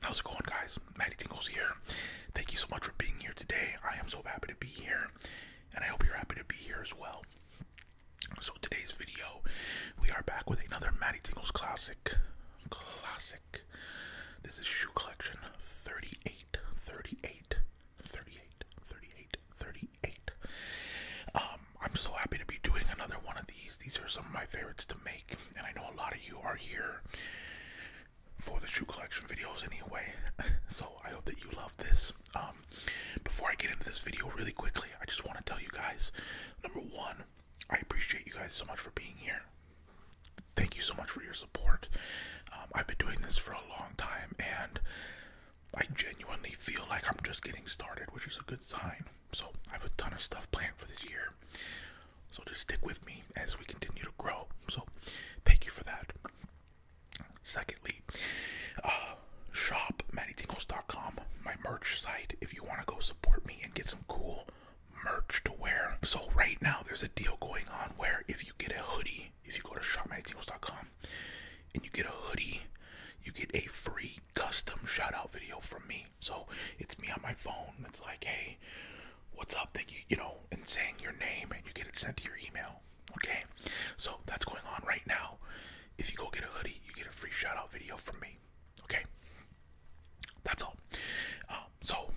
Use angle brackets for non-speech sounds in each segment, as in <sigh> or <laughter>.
How's it going, guys? Maddie Tingles here. Thank you so much for being here today. I am so happy to be here, and I hope you're happy to be here as well. So today's video, we are back with another Matty Tingles classic. Classic. This is shoe collection 38, 38, 38, 38, 38. Um, I'm so happy to be doing another one of these. These are some of my favorites to make, and I know a lot of you are here for the shoe collection videos anyway. <laughs> So I hope that you love this. Um, um, before I get into this video really quickly, I just want to tell you guys number one, I appreciate you guys so much for being here. Thank you so much for your support. Um, I've been doing this for a long time and I genuinely feel like I'm just getting started, which is a good sign. So, I have a ton of stuff planned for this year. So, just stick with me as we continue to grow. So, thank you for that. Secondly, uh, shop mattytingles.com, my merch site, if you want to go support me and get some cool merch to wear. So right now there's a deal going on where if you get a hoodie, if you go to shopmattytingles.com and you get a hoodie, you get a free custom shout out video from me. So it's me on my phone. It's like, hey, what's up? Thank you, you know, and saying your name and you get it sent to your email. Okay, so that's going on right now. If you go get a hoodie, you get a free shout out video from me. Okay, that's all. Um, so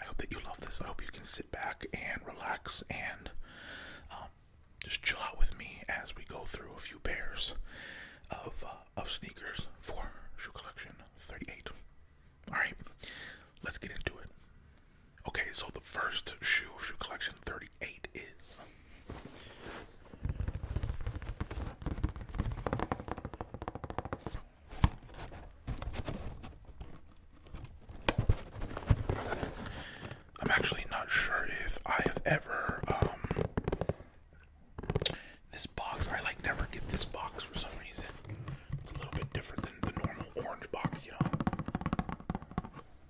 I hope that you love this. I hope you can sit back and relax and um, just chill out with me as we go through a few pairs of uh, of sneakers for shoe collection 38. All right, let's get into it. Okay, so the first shoe of shoe collection thirty. Eight is. I'm actually not sure if I have ever um this box I like never get this box for some reason. It's a little bit different than the normal orange box, you know.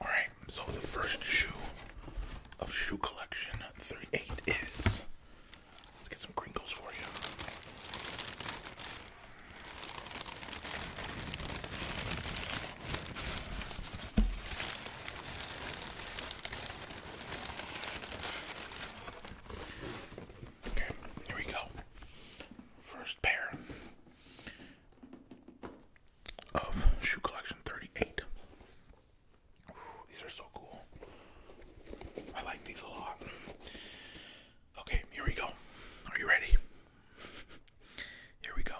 Alright, so the first shoe of shoe collection 38 is. Let's get some crinkles for you. Okay, here we go. First pair of shoe collection 38. these are so cool. I like these a lot. Okay, here we go. Are you ready? Here we go.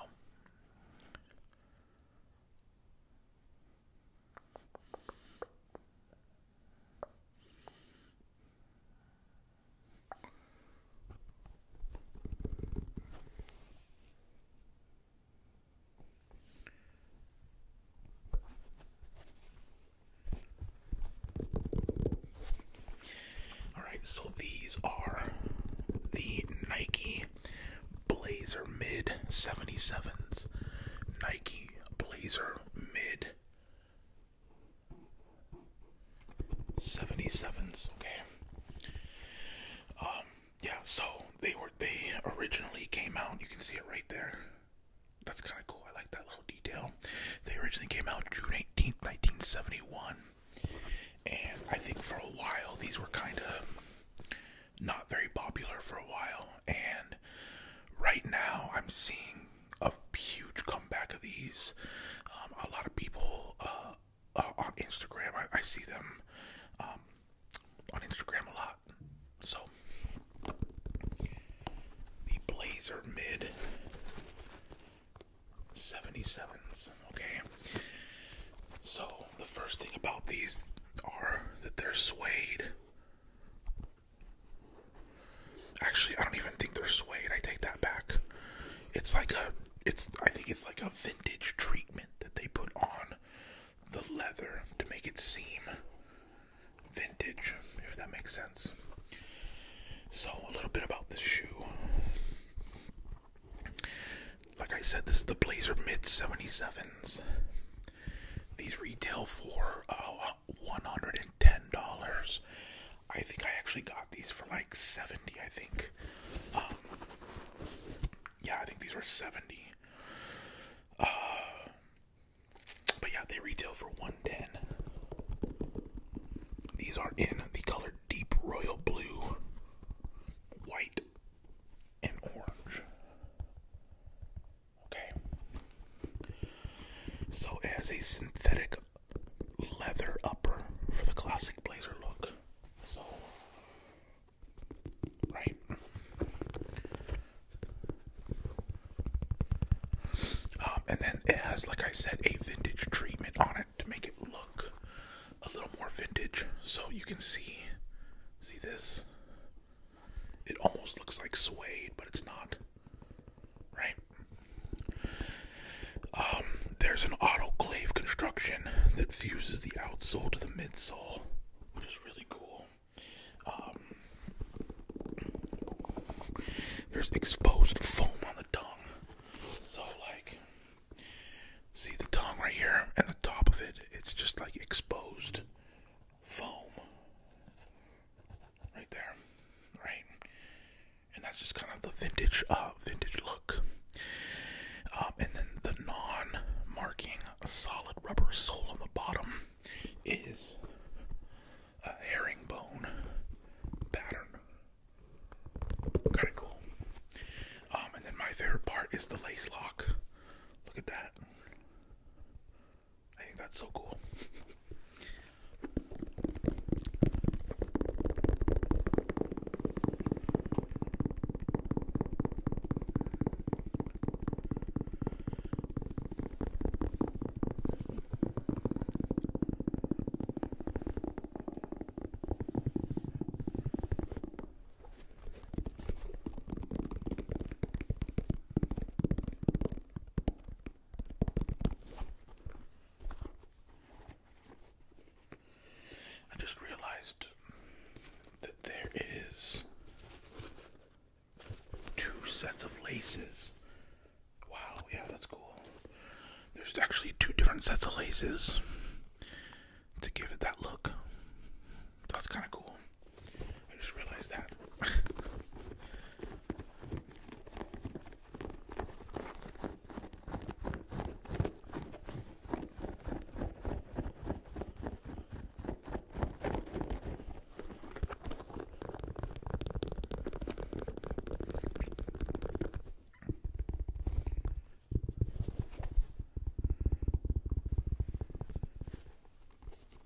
All right, so these are the Nike Blazer Mid 77s. Nike Blazer Mid 77s, okay. Um, yeah, so they were they originally came out, you can see it right there. That's kind of cool. I like that little detail. They originally came out June 18th, 1971. And I think for a while these were kind of not very popular for a while and right now I'm seeing a huge comeback of these. Um, a lot of people uh, on Instagram, I, see them um, on Instagram a lot. So the Blazer mid 77s, okay. So the first thing about these are that they're suede. Actually, I don't even think they're suede. I take that back. It's like a, it's I think it's like a vintage treatment that they put on the leather to make it seem vintage, if that makes sense. So a little bit about this shoe. Like I said, this is the Blazer Mid 77s. These retail for uh, $110. I think I actually got these for like 70, I think. Um, yeah, I think these were 70. Uh, but yeah, they retail for 110. These are in the color deep royal blue, white, and orange. Okay. So it has a synthetic leather upper for the classic blazer look. So right. Um, and then it has, like I said, a vintage treatment on it to make it look a little more vintage. So you can see, see this. It almost looks like suede, but it's not right? Um, there's an autoclave construction that fuses the outsole to the midsole, which is really cool. Um, there's exposed foam on the tongue. So, like, see the tongue right here and the top of it, it's just like exposed foam right there, right? And that's just kind of the vintage, uh, vintage look. Um, and then the non-marking a solid rubber sole on the bottom is a herringbone pattern. Kind of cool. Um, and then my favorite part is the lace lock. Look at that. I think that's so cool. I just realized that there is two sets of laces. Wow, yeah, that's cool. There's actually two different sets of laces to give it that look. That's kind of cool. I just realized that.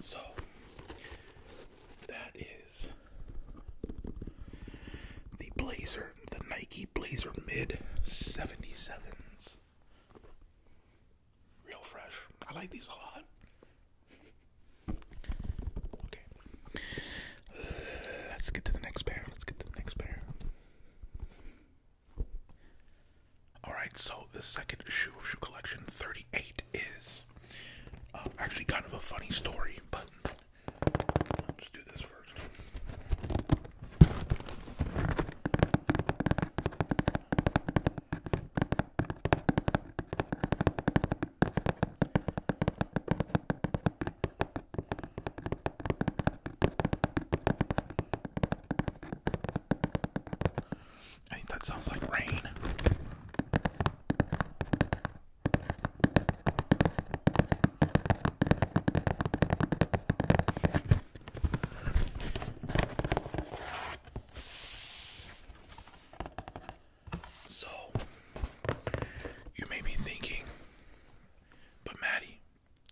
so that is the Blazer, the Nike Blazer Mid 77s. Real fresh. I like these a lot. Okay. Let's get to the next pair. Let's get to the next pair. Alright, so the second shoe of shoe collection 38 is uh, actually kind of a funny story, but let's do this first. I think that sounds like rain. So, you may be thinking, but Maddie,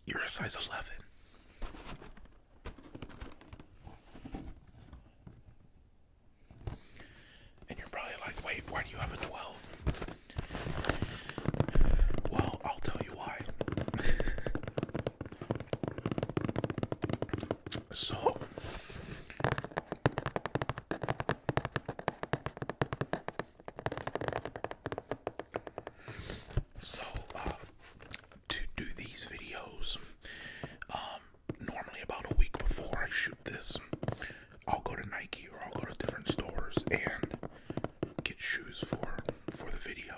you're a size 11. And you're probably like, wait, why do you have a 12? Well, I'll tell you why. <laughs> so, so uh, to do these videos, um, normally about a week before I shoot this, I'll go to Nike or I'll go to different stores and get shoes for for the video.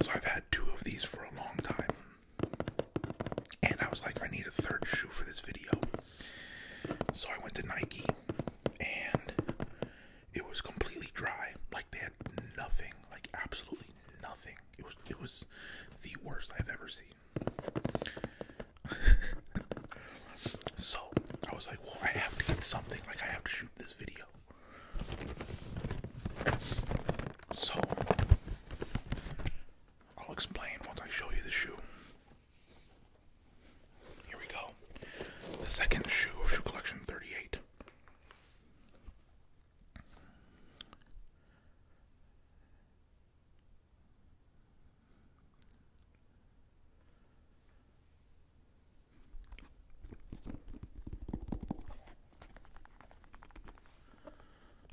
So I've had two of these for a long time. And I was like, I need a third shoe for this video. So I went to Nike and it was completely dry. Like they nothing, like absolutely nothing. It was it was the worst I've ever seen. <laughs> so I was like, well, I have to get something. Like I have to shoot this video. So I'll explain once I show you the shoe. Here we go. The second shoe of shoe collection 38.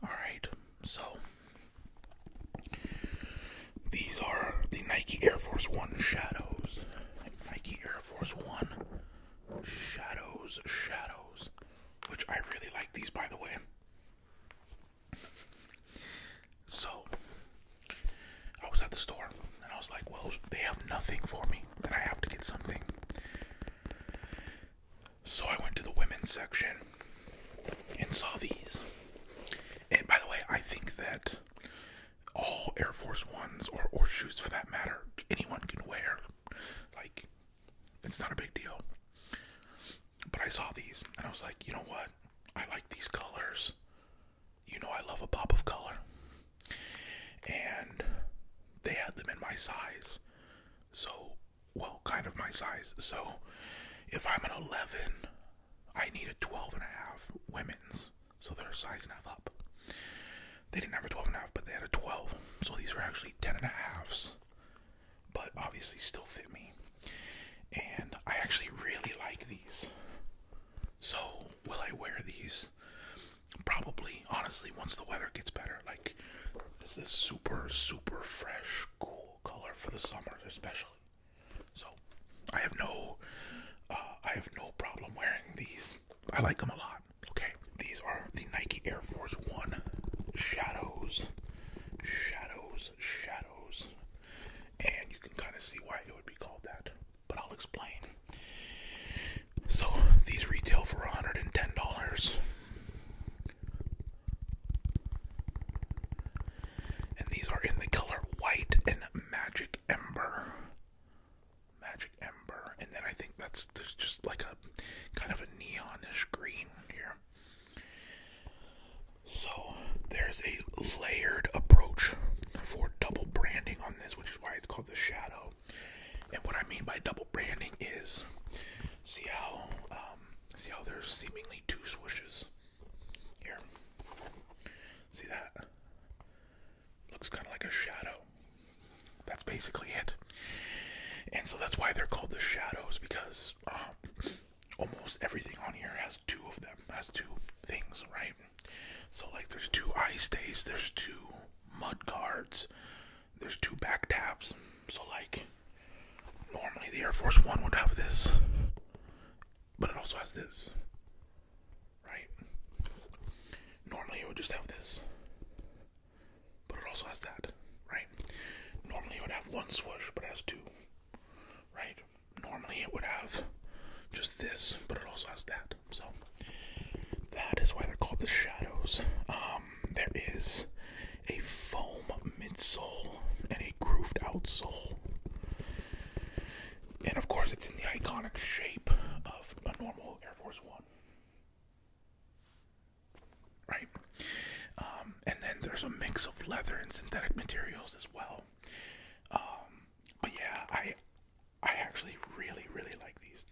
All right, so these are the Nike Air Force One shadows. Nike Air Force One Shadows, Shadows, which I really like these by the way. So, I was at the store and I was like, well, they have nothing for me and I have to get something. So, I went to the women's section and saw these. And by the way, I think that all Air Force Ones or, or shoes for that matter anyone can wear. Like, it's not a big deal. But I saw these and I was like, you know what? I like these colors. You know, I love a pop of color. And they had them in my size. So, well, kind of my size. So, if I'm an 11, I need a 12 and a half women's so they're size and a half up. They didn't have a 12 and but they had a 12. So these were actually 10 and a halves, but obviously still fit me. And I actually really like these. So will I wear these? Probably, honestly, once the weather gets better. Like this is super, super fresh, cool color for the summer, especially. So I have no, uh, I have no problem wearing these. I like them a lot. Okay, these are the Nike Air Force One Shadows. Shadows, shadows. And you can kind of see why it would be called that, but I'll explain. So these retail for $110. And these are in the color white and magic ember magic ember, and then I think that's there's just like a kind of a neonish green here. So there's a layered approach for double branding on this, which is why it's called the shadow. And what I mean by double branding is, see how um, see how there's seemingly two swishes here. See that? Looks kind of like a shadow. That's basically it. And so that's why they're called the shadows because um, almost everything on here has two of them, has two things, right? So, like, there's two ice days, there's two mud guards, there's two back tabs. So, like, normally the Air Force One would have this, but it also has this right? Normally it would just have this, but it also has that, right? Normally it would have one swoosh, but has two, right? Normally it would have just this, but it also has that. So that is why they're called the shadows. Um, there is a foam midsole and a grooved outsole. And of course, it's in the iconic shape of a normal Air Force One, right? Um, and then there's a mix of leather and synthetic materials as well. Um, but yeah, I I actually really really like these.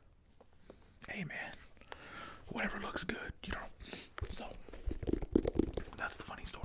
<laughs> hey man, whatever looks good, you know. So that's the funny story.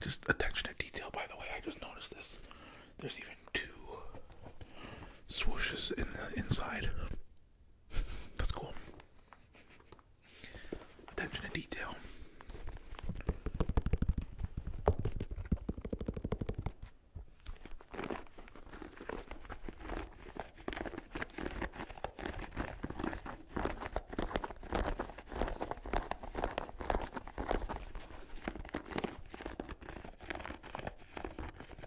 Just attention to detail, by the way. I just noticed this. There's even two swooshes in the inside. <laughs> That's cool. Attention to detail.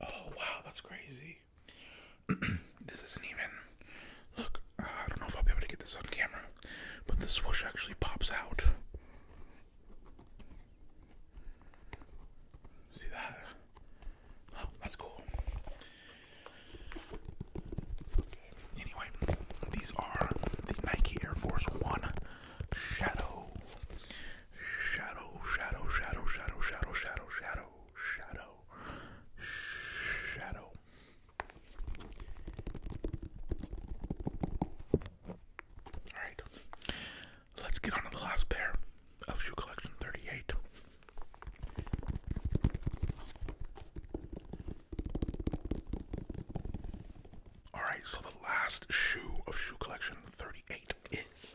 Oh wow, that's crazy. <clears throat> this isn't even. Look, I don't know if I'll be able to get this on camera, but the swoosh actually pops out. See that? Oh, that's cool. Anyway, these are the Nike Air Force One Shadow. Shadow, shadow, shadow, shadow, shadow, shadow, shadow, shadow, shadow. Alright, let's get on to the last pair of Shoe Collection 38. All right, so the last shoe of shoe collection 38 is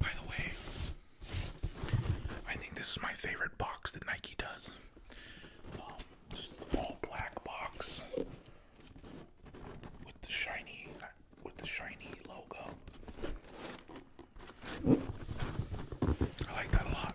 by the way, I think this is my favorite box that Nike does. Um, just all black box with the shiny with the shiny logo. I like that a lot.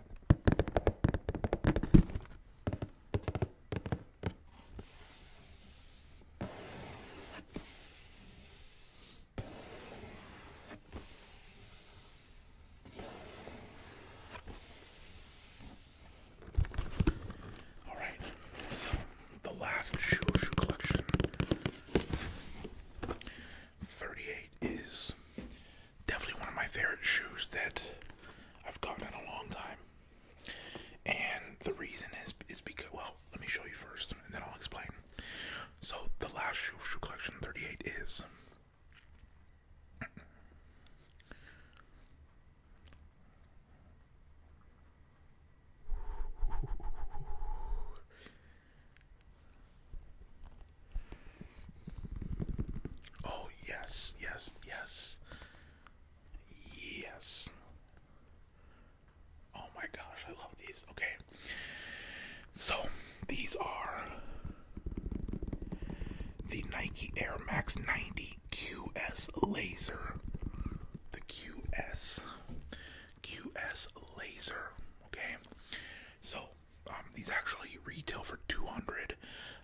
All right, so the last shoe collection 38 is Definitely one of my favorite shoes that I've gotten in a long time. And the reason is is because well, let me show you first and then I'll explain. So the last shoe shoe collection 38 is Oh, yes, yes, yes. Yes. Oh my gosh, I love these. Okay. So, these are the Nike Air Max 90 QS Laser. The QS QS Laser, okay? So, um, these actually retail for 200.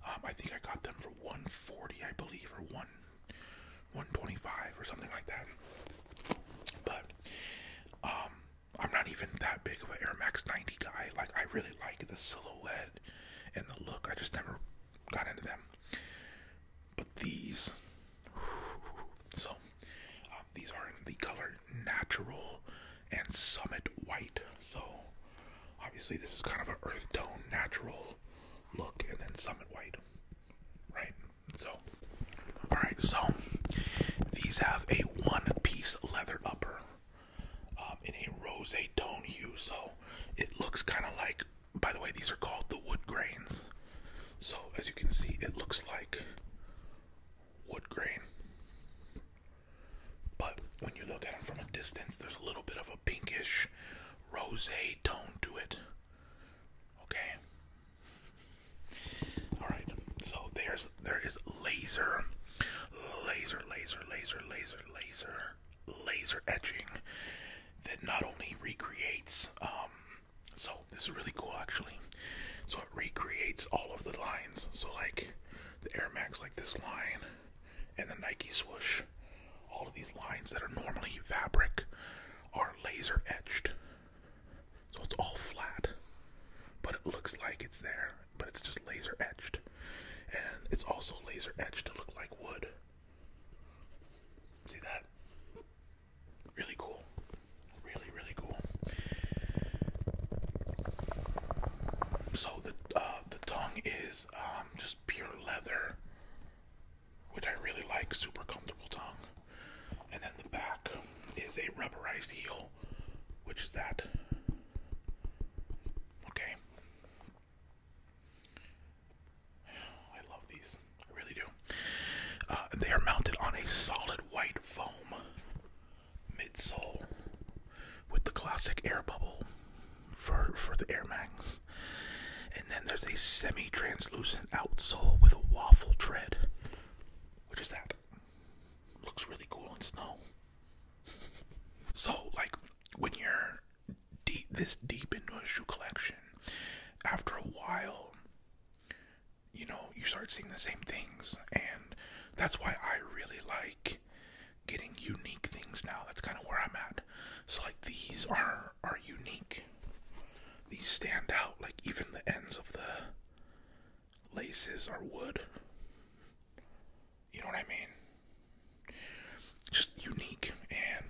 Um, I think I got them for 140, I believe, or one 125 or something like that. But um, I'm not even that big of an Air Max 90 guy. Like I really like the silhouette and the look. I just never got into them. But these, so um, these are in the color natural and summit white. So obviously this is kind of an earth tone natural look and then summit white. Right? So alright, so these have a one piece leather upper um, in a rose tone hue. So it looks kind of like, by the way, these are called the wood grains. So as you can see, it looks like wood grain. But when you look at them from a distance, there's a little bit of a pinkish rose tone to it. Okay. Alright, so there's there is laser, laser, laser, laser, laser, laser, laser etching that not only recreates um so this is really cool actually. So it recreates all of the lines. So like the Air Max, like this line, and the Nike swoosh. All of these lines that are normally fabric are laser etched. So it's all flat, but it looks like it's there, but it's just laser etched. And it's also laser etched to look like wood. See that? Really cool. Really, really cool. So the uh, the tongue is um, just pure leather, which I really like. Super comfortable tongue. And then the back is a rubberized heel, which is that. Okay. I love these. I really do. Uh, they are mounted on a solid white foam midsole with the classic air bubble for for the Air Max. And then there's a semi-translucent outsole with a waffle tread. Which is that? Looks really cool in snow. <laughs> so, like, when you're deep this deep into a shoe collection, after a while, you know, you start seeing the same things. And that's why I really like getting unique things now. That's kind of where I'm at. So like these are are unique. These stand out. Like even the ends of the laces are wood. You know what I mean? Just unique and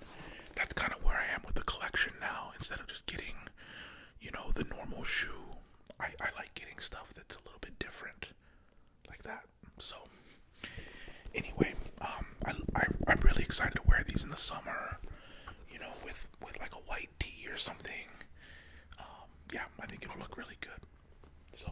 that's kind of where I am with the collection now. Instead of just getting, you know, the normal shoe I, I like getting stuff that's a little bit different like that. So anyway, um I, I I'm really excited to wear these in the summer, you know, with with like a white tee or something. Um, yeah, I think it'll look really good. So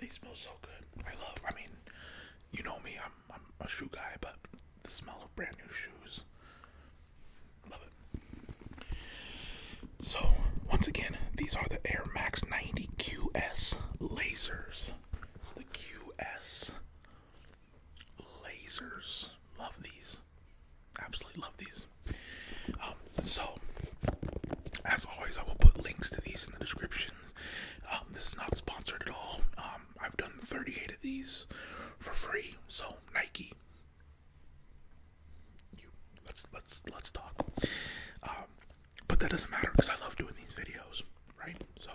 They smell so good. I love. I mean, you know me. I'm I'm a shoe guy, but the smell of brand new shoes so, once again, these are the Air Max 90 QS lasers. The QS lasers. Love these. Absolutely love these. Um, so, as always, I will put links to these in the descriptions. Um, this is not sponsored at all. Um, I've done 38 of these for free. So, Nike, let's let's let's talk. Um, but that doesn't matter because I love doing these videos, right? So,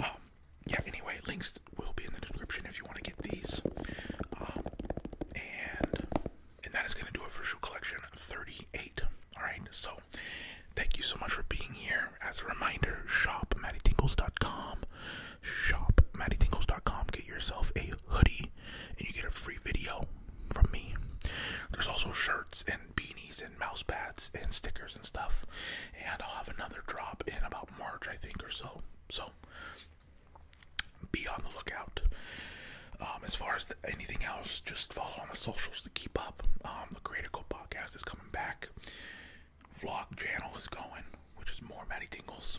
um, yeah. Anyway, links will be in the description if you want to get these. Um, and and that is gonna do it for shoe collection 38. All right. So, thank you so much for being here. As a reminder, shop mattytingles.com shop mattytingles.com, get yourself a hoodie, and you get a free video from me. There's also shirts and beanies and mouse pads and stickers and stuff. And I'll have another drop in about March, I think, or so. So be on the lookout. Um, as far as anything else, just follow on the socials to keep up. Um, the Critical Podcast is coming back. Vlog channel is going, which is more Matty Tingles.